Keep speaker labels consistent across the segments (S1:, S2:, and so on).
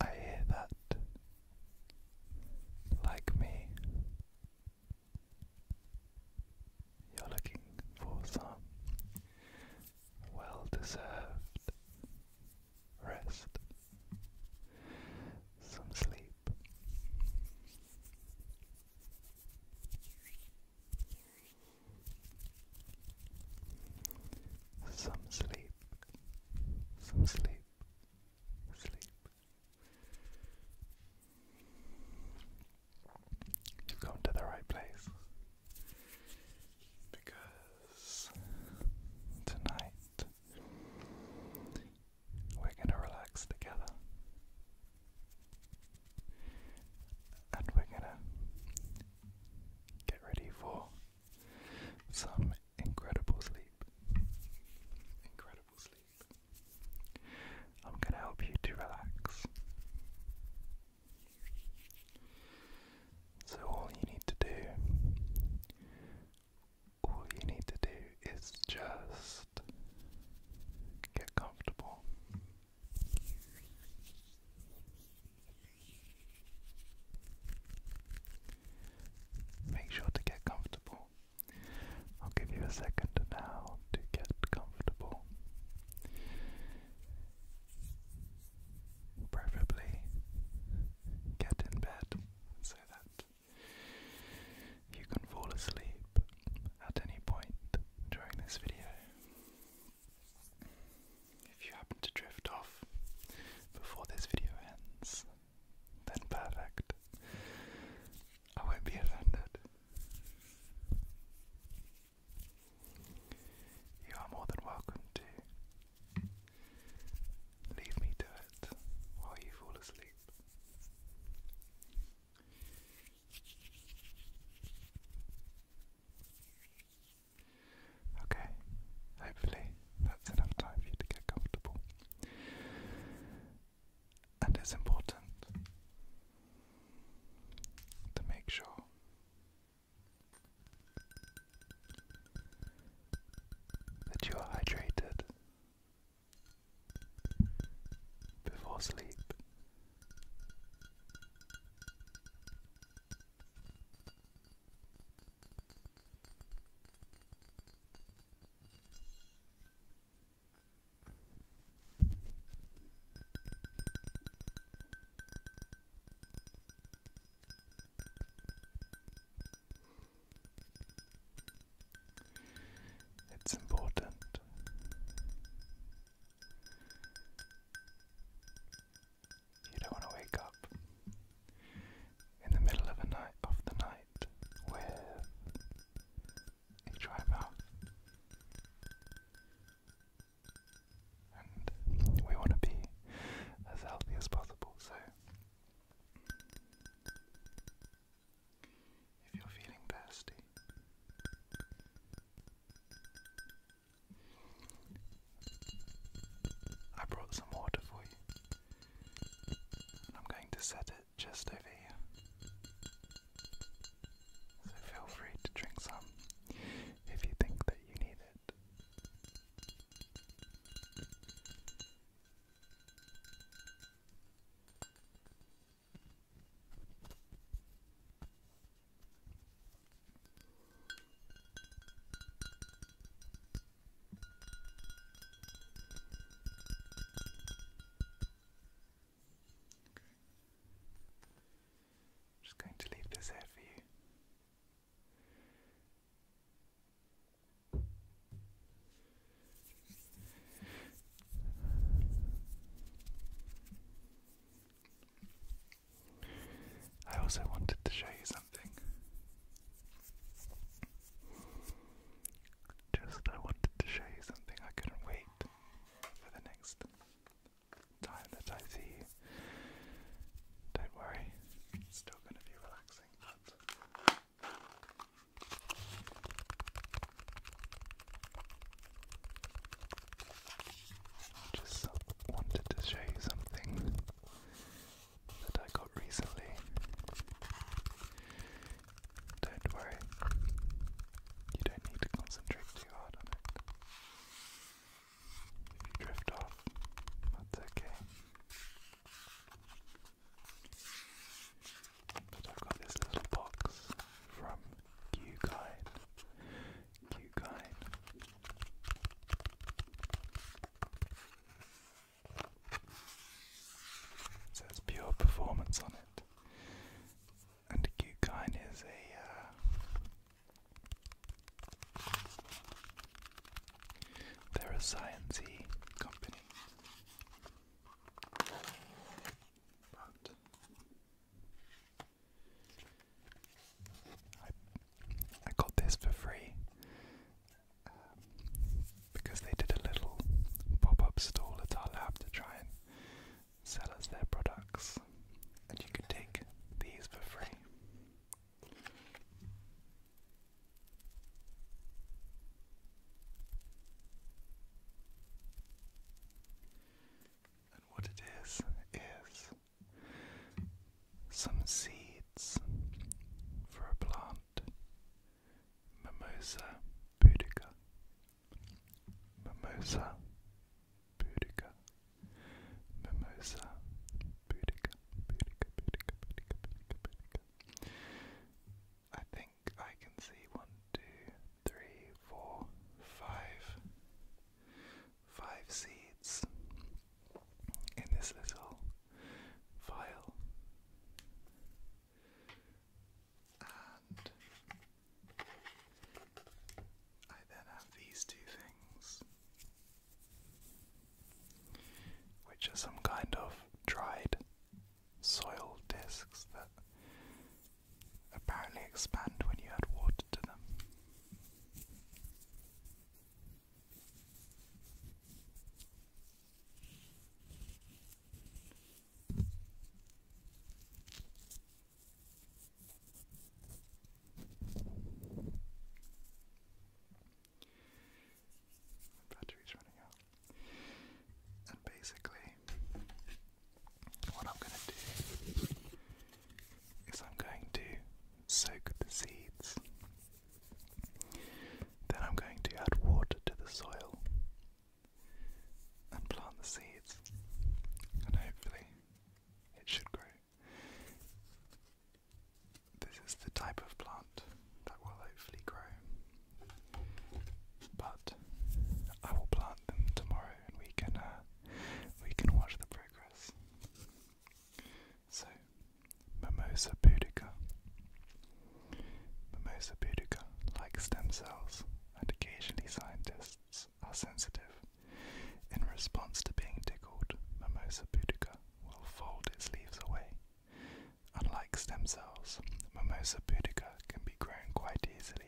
S1: I hear that like me. You're looking for some well deserved rest, some sleep. Some sleep, some sleep, sleep. You've come to the right place because tonight we're going to relax together and we're gonna get ready for some incredible sleep. Incredible sleep. I'm gonna help you to relax. So, all you need to do, all you need to do is just get comfortable. Make sure to get comfortable. I'll give you a second now to get comfortable. Preferably get in bed so that you can fall asleep at any point during this video. If you happen to drift off before this video ends, then perfect. I won't be offended. You are more than welcome to leave me to it while you fall asleep. Okay, hopefully that's enough time for you to get comfortable. And it's important to make sure that you are hydrated before sleep. It's important you don't want to wake up in the middle of a night of the night with a dry And we want to be as healthy as possible, so if you're feeling thirsty, I brought some water for you, I'm going to set it just over here. So feel free to drink some if you think that you need it. I'm just going to leave this there for you. I also wanted to show you something. Just I wanted to show you something. I couldn't wait for the next time that I see you. Don't worry, it's still going to be relaxing, just wanted to show you something that I got recently. Don't worry, you don't need to concentrate too hard on it. If you drift off, that's okay. But I've got this little box from Qkine. Qkine. says pure performance on it. And Qkine is a. Uh, they're a sciencey company. I, got this for free um, because they did a little pop up stall at our lab to try and sell us their products, and you can take these for free. And what it is, is some seeds for a plant. Mimosa pudica. Mimosa pudica. Mimosa pudica. Pudica, pudica, pudica, pudica, pudica. I think I can see one, two, three, four, five, five seeds in this little vial. And I then have these two things, which are some kind of dried soil discs that apparently expand when you add water to them. My running out. And basically, what I'm going to do is I'm going to soak the seeds. Then I'm going to add water to the soil and plant the seeds. And hopefully it should grow. This is the type of plant that will hopefully grow. But I will plant them tomorrow, and we can uh, we can watch the progress. So, Mimosa pudica. Mimosa pudica, like stem cells, and occasionally scientists are sensitive. In response to being tickled, Mimosa pudica will fold its leaves away. Unlike stem cells, Mimosa pudica can be grown quite easily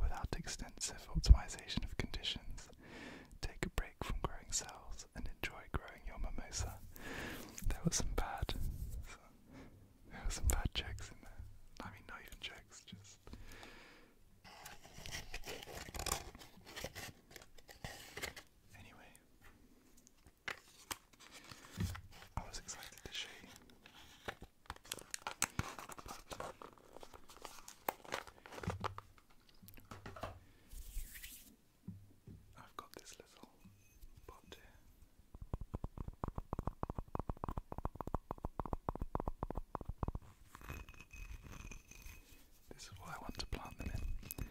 S1: without extensive optimization of conditions. Take a break from growing cells and enjoy growing your mimosa. There were some bad, there were some bad jokes in there. I mean, not even checks. just. Anyway, I was excited to show you I've got this little pot here. This is what I want to plant them in.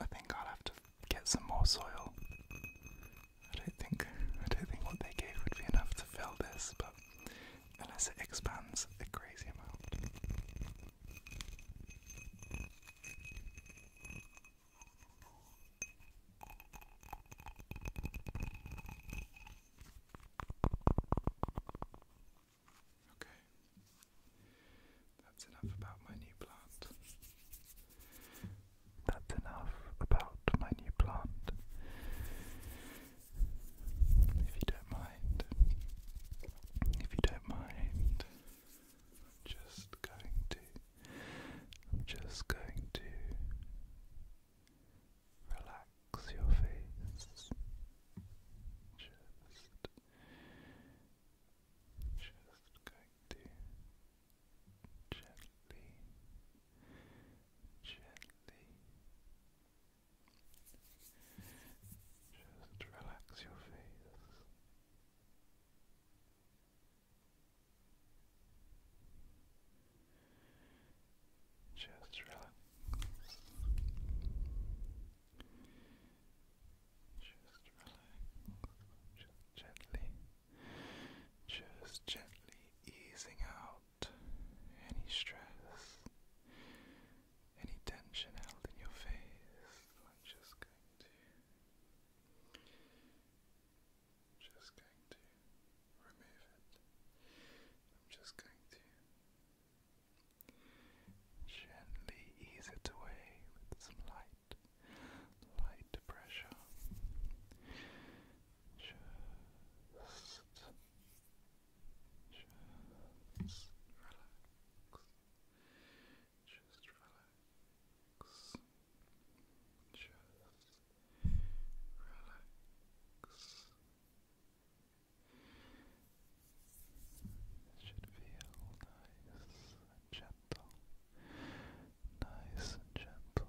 S1: I think I'll have to get some more soil I don't think I don't think what they gave would be enough to fill this, but unless it expands a crazy amount. Okay, that's enough about my new plant. That's enough about my new plant. If you don't mind, if you don't mind, I'm just going to, I'm just going to relax your face. Just, just going to gently, gently. Just relax your face. Just relax. Just relax. Just gently just gently easing out any stress, any tension held in your face. I'm just going to, just going to remove it. I'm just going to gently ease it away with some light. Light pressure, just, relax. Just relax. Just relax. It should feel nice and gentle. Nice and gentle.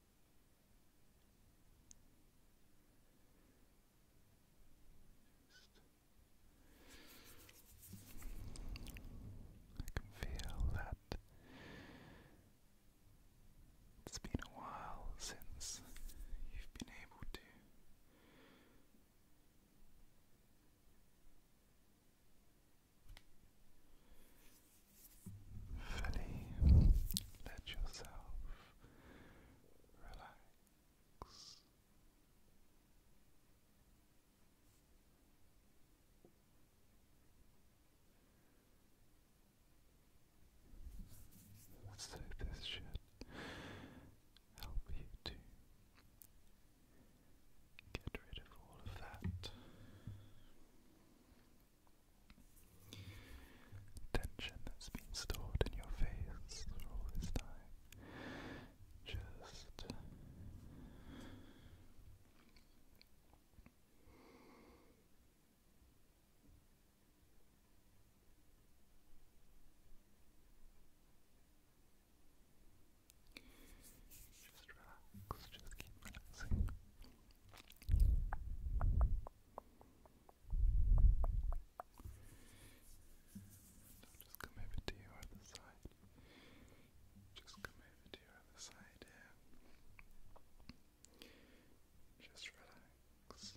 S1: I can feel that it's been a while since you've been able to fully let yourself relax. So, this should help you to get rid of all of that tension that's been stored in your face for all this time. Just just relax, just keep relaxing. I'll just come over to your other side. Just come over to your other side here. Just relax. Just.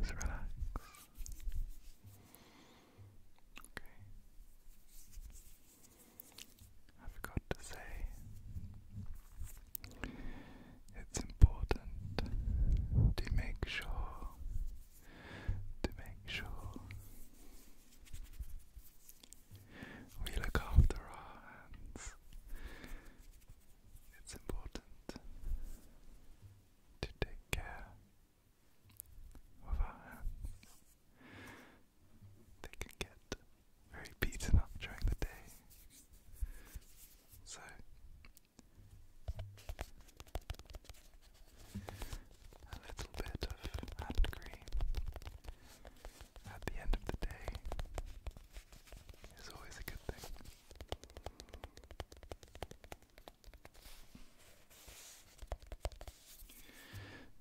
S1: just relax. Okay. I forgot to say it's important to make sure to make sure we look after our hands. It's important to take care of our hands. They can get very beaten up during the day. So, a little bit of hand cream at the end of the day is always a good thing.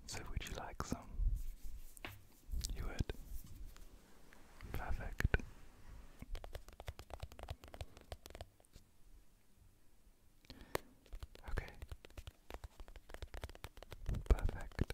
S1: So, would you like some? You would? Perfect. Okay. Perfect.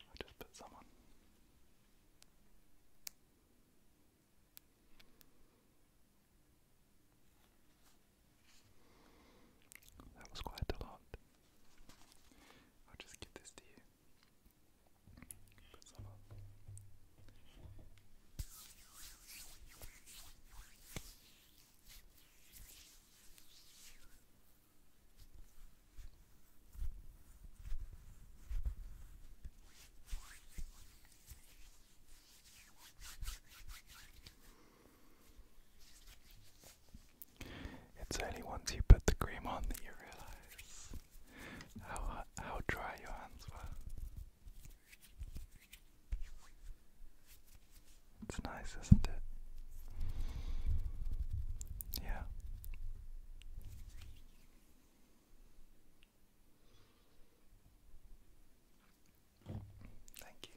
S1: i just put some on. That was quite a lot. I'll just give this to you. Put some on. It's only once you put the cream on that you realize how how dry your hands were. It's nice, isn't it? Yeah. Thank you.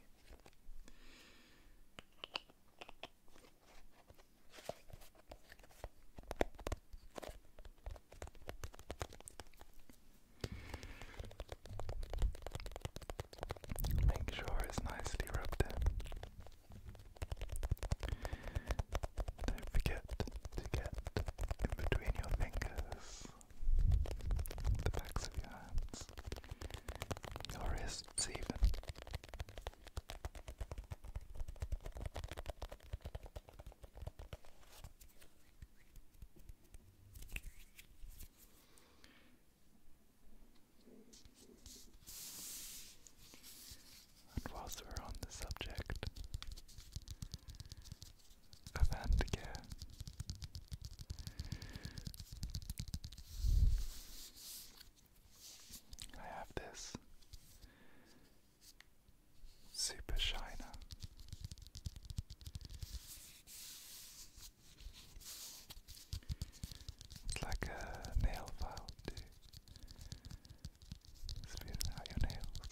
S1: Make sure it's nicely rubbed in. Don't forget to get in between your fingers, the backs of your hands, your wrists even. And whilst we're on the subject of handicare, I have this super shiner. It's like a nail file, too. Spitting out your nails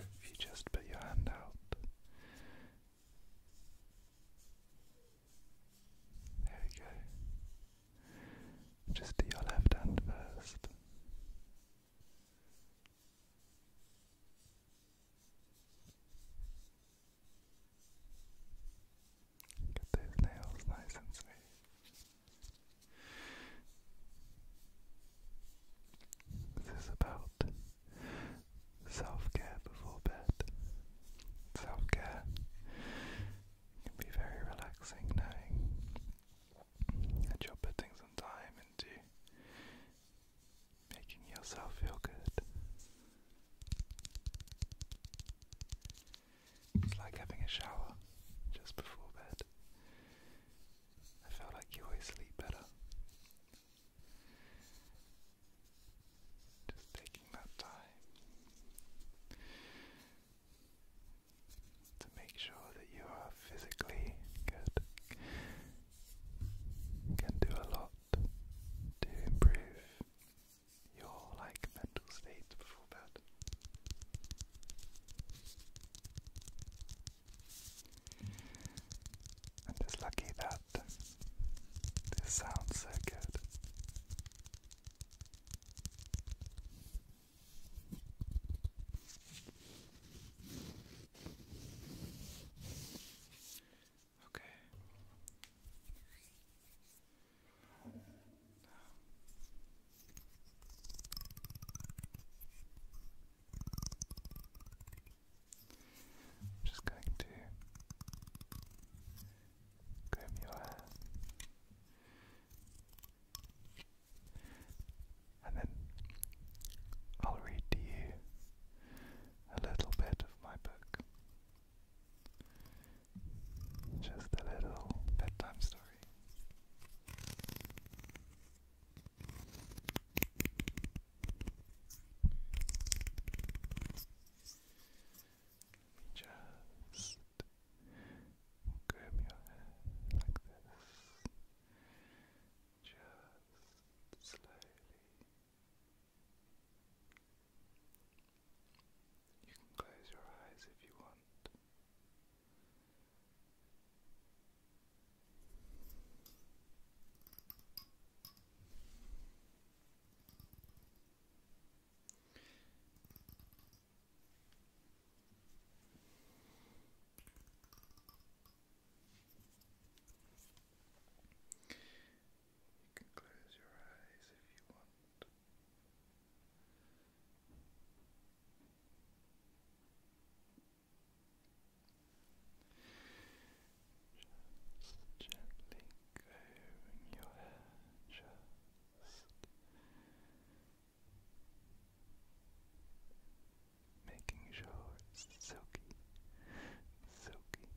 S1: If you just put your hand out, there we go. Just do your left hand first. Get those nails nice and smooth. This is about Self care before bed. Self care can be very relaxing knowing that you're putting some time into making yourself feel good. It's like having a shower just before bed. I feel like you always sleep better just taking that time to make sure that you are physically good can do a lot to improve your like mental state before bed. And it's lucky that this sounds so good. Okay. I'm just going to comb your hair and then I'll read to you a little bit of my book. Just a little bedtime story. Let just comb your hair like this. Just slowly. You can close your eyes if you want. You can close your eyes if you want. Just gently combing your hair, just making sure it's silky, silky,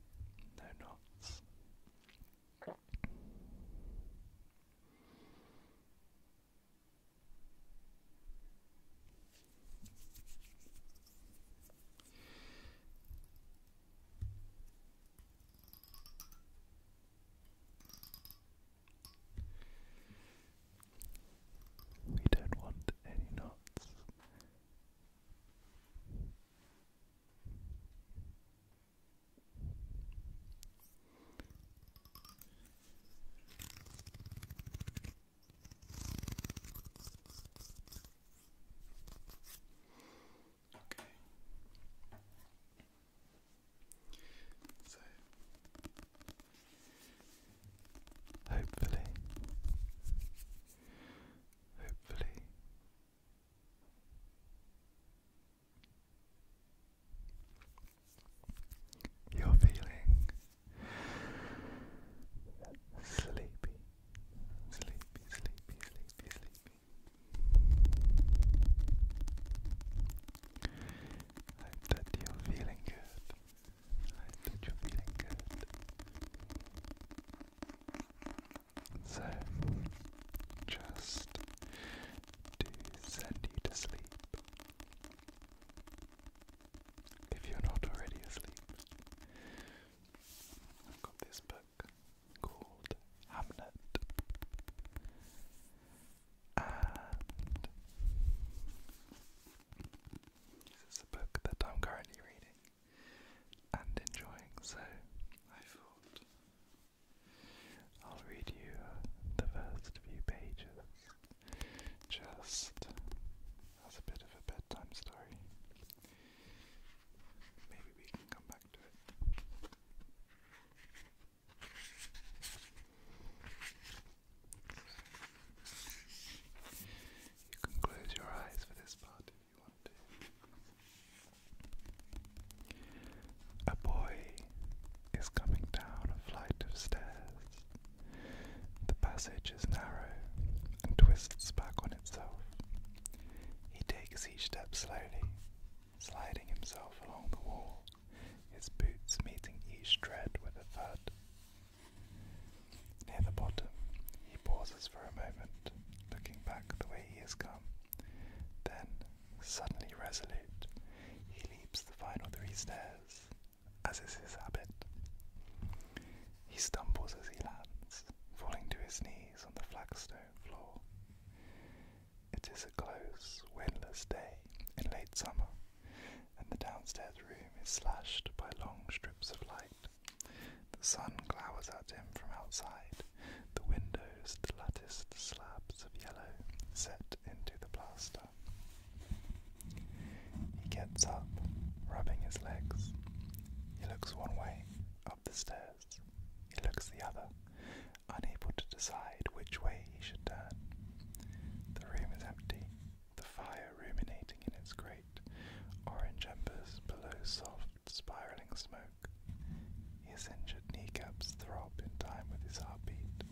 S1: no knots. We don't want any knots. Okay. So hopefully hopefully you're Sleepy, sleepy, sleepy, sleepy, sleepy. Hope that you're feeling good. Hope that you're feeling good. So, just to send you to sleep if you're not already asleep. I've got this book called Hamnet, and this is a book that I'm currently reading and enjoying, so I thought I'll read you the first few pages just that's a bit of a bedtime story. Maybe we can come back to it. You can close your eyes for this part if you want A boy is coming down a flight of stairs. The passage is narrow and twists back on itself. He takes each step slowly, sliding himself along the wall, his boots meeting each tread with a thud. Near the bottom, he pauses for a moment, looking back the way he has come. Then, suddenly resolute, he leaps the final three stairs, as is his habit. He stumbles as he lands, falling to his knees on the flagstone floor. It is a close, windless day in late summer, and the downstairs room is slashed by long strips of light. The sun glowers at him from outside, the windows, the latticed slabs of yellow set into the plaster. He gets up, rubbing his legs. He looks one way, up the stairs. He looks the other, unable to decide which way he should turn. The room is empty, the fire ruminating in its grate, orange embers below soft, spiraling smoke. His injured kneecaps throb in time with his heartbeat.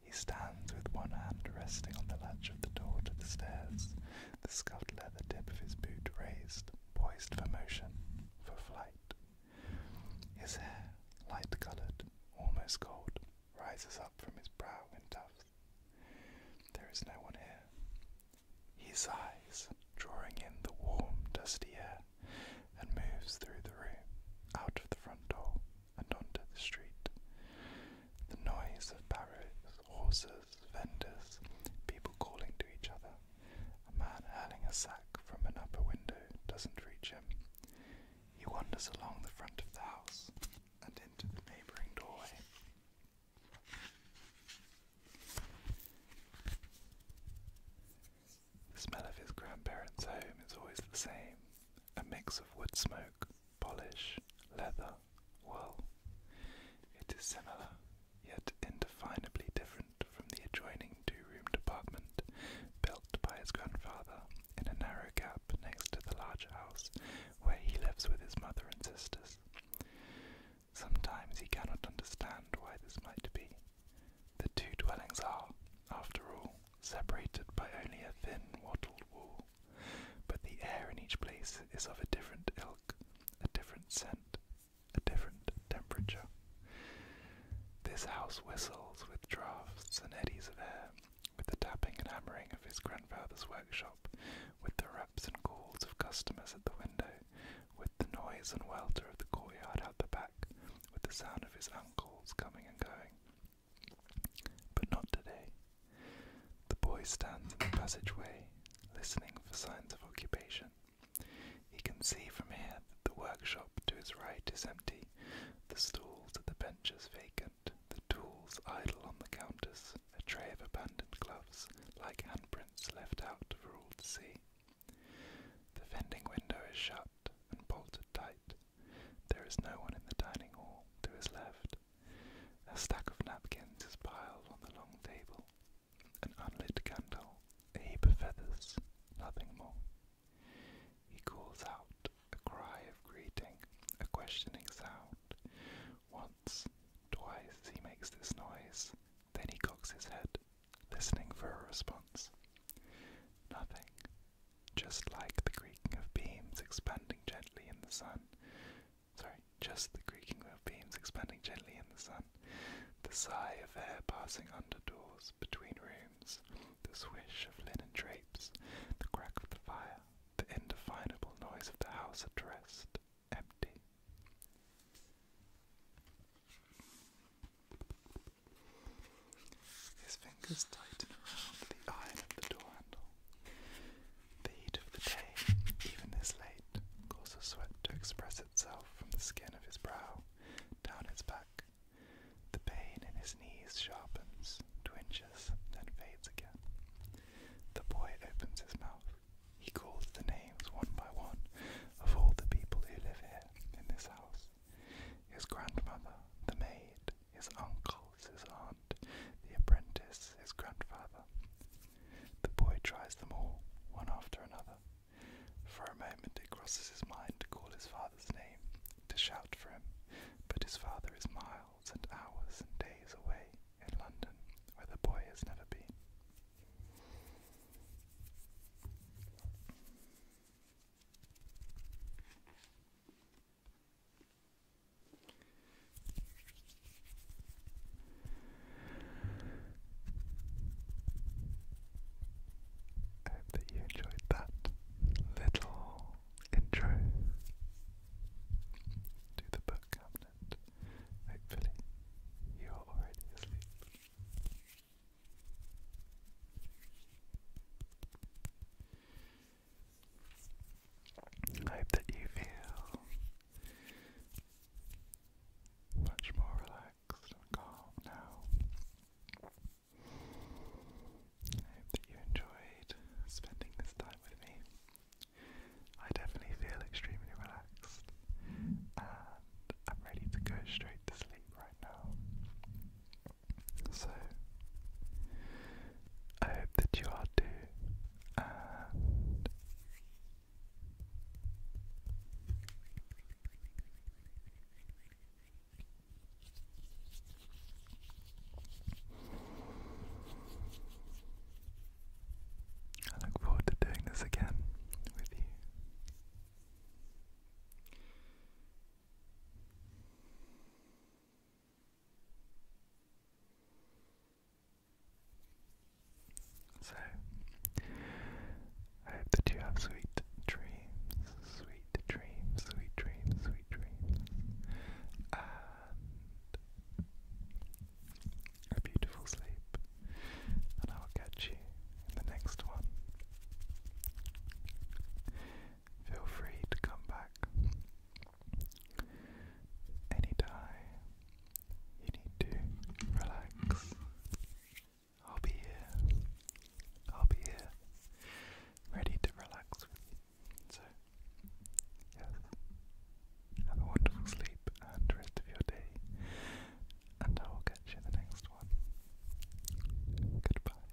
S1: He stands with one hand resting on the latch of the door to the stairs, the scuffed leather tip of his boot raised, poised for motion, for flight. His hair, light coloured, almost gold, rises up from his brow in tufts. There is no one here. His eyes, drawing in the warm, dusty air, and moves through the room, out of the front door, and onto the street. The noise of barrows, horses, vendors, people calling to each other. A man hurling a sack from an upper window doesn't reach him. He wanders along the front of the house and into the neighbouring doorway. The smell of his grandparents' home is always the same a mix of wood smoke, polish, leather, well, it is similar, yet indefinably different from the adjoining 2 room apartment built by his grandfather in a narrow gap next to the larger house where he lives with his mother and sisters. Sometimes he cannot understand why this might be. The two dwellings are, after all, separated by only a thin wattled wall. But the air in each place is of a different ilk, a different scent, a different temperature. This house whistles with draughts and eddies of air, with the tapping and hammering of his grandfather's workshop, with the raps and calls of customers at the window, with the noise and welter of the courtyard out the back, with the sound of his uncles coming and going, but not today. The boy stands in the passageway, listening for signs of occupation. He can see from here that the workshop to his right is empty, the stools at the benches vacant, the tools idle on the counters, a tray of abandoned gloves, like handprints left out for all to see. The vending window is shut and bolted tight, there is no one in the dining hall to his left. A stack of napkins is piled on the long table. An unlit candle, a heap of feathers, nothing more. He calls out a cry of greeting, a questioning sound. Once, twice he makes this noise, then he cocks his head, listening for a response. Nothing, just like the creaking of beams expanding gently in the sun. Sorry, just the creaking of beams expanding gently in the sun, the sigh of air passing under doors between rooms, the swish of linen drapes, the crack of the fire, the indefinable noise of the house addressed, empty his fingers tighten around the iron of the door handle. The heat of the day, even this late, caused sweat to express itself from the skin of his brow down his back. The pain in his knees sharpens, twinges, then fades again. The boy opens his mouth. He calls the names one by one of all the people who live here in this house. His grandmother, the maid, his uncles, his aunt, the apprentice, his grandfather. The boy tries them all, one after another. For a moment it crosses his mind to call his father's name, to shout for him, but his father is miles and hours and days away in London, where the boy has never been. I hope that you enjoyed that little intro to the book cabinet. Hopefully, you are already asleep. I hope that you feel much more relaxed now. hope that you enjoyed spending this time with me. I definitely feel extremely relaxed and I'm ready to go straight to sleep right now. So, I hope that you are too, I look forward to doing this again with you. So, I hope that you have sweet dreams, sweet dreams, sweet dreams, sweet dreams, a beautiful sleep. And I will catch you in the next one. Feel free to come back Anytime you need to relax, I'll be here. I'll be here, ready to relax with you. So, yes, have a wonderful sleep and rest of your day, and I will catch you in the next one. Goodbye.